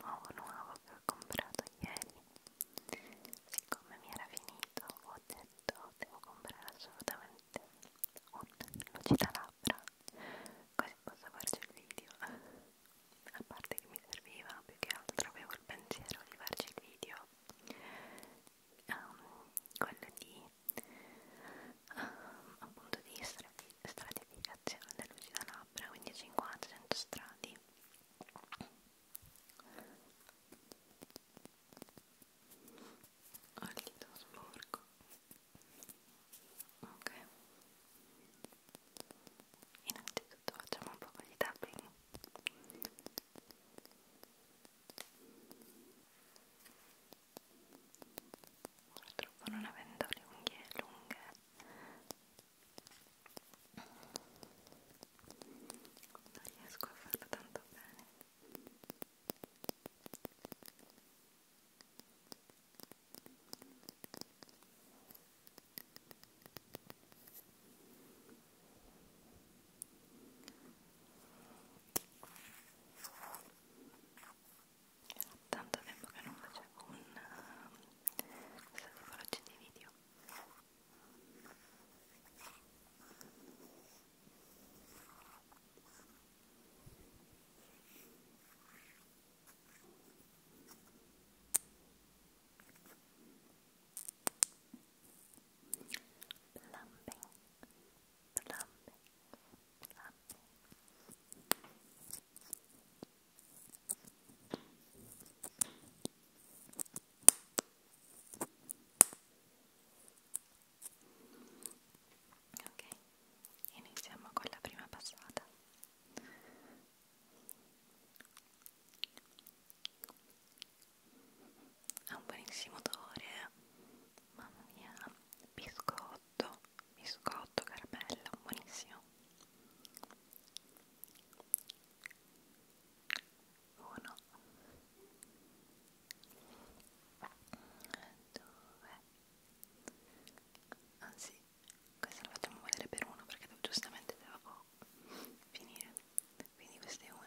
nuovo nuovo che ho comprato ieri siccome mi era finito ho detto devo comprare assolutamente un lucidalabbra così posso farci il video a parte che mi serviva più che altro avevo il pensiero di farci il video um, quello di um, appunto di essere stratificazione dell'usina labbra, quindi 50-100 strati. Ho il dito sporco. Ok. Innanzitutto facciamo un po' di tapping purtroppo non avendo le unghie lunghe non riesco a farlo tanto bene era tanto tempo che non facevo un, uh, eh, questa tipologia di video. Plumbing, plumbing, plumbing. Ok, iniziamo con la prima passata. Ha un buonissimo odore, mamma mia, biscotto biscotto, caramella, buonissimo uno due anzi questa la facciamo valere per uno perché devo, giustamente devo finire quindi questa è una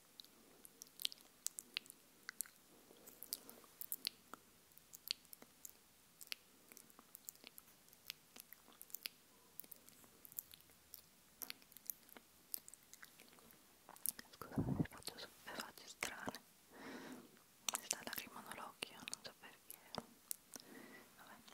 Scusate se faccio, se faccio strane. Mi sta lacrimando l'occhio, non so perché. Vabbè.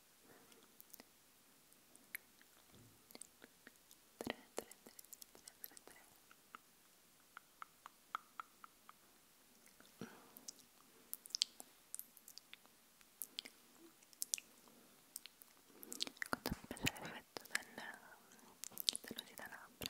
Quando mi piace l'effetto dell'osità labbra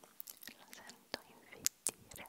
lo sento infettire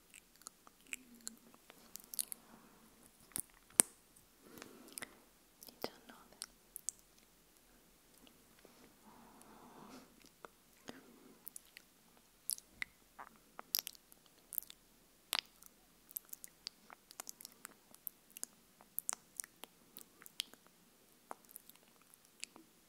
You don't know that. Good.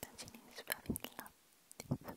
Piacini di sbavilla Trindoro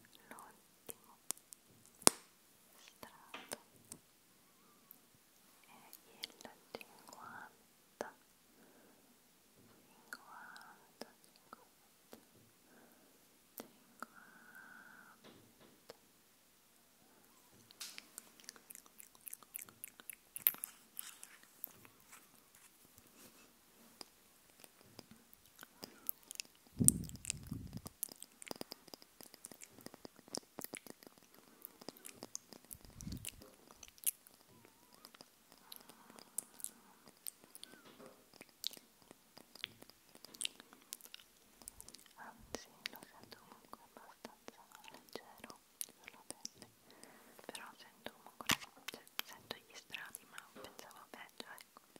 l'ultimo strato è il 50 50 50 50 Anzi, lo sento comunque abbastanza leggero sulla pelle, però sento comunque, cioè, sento gli strati, ma pensavo peggio, ecco.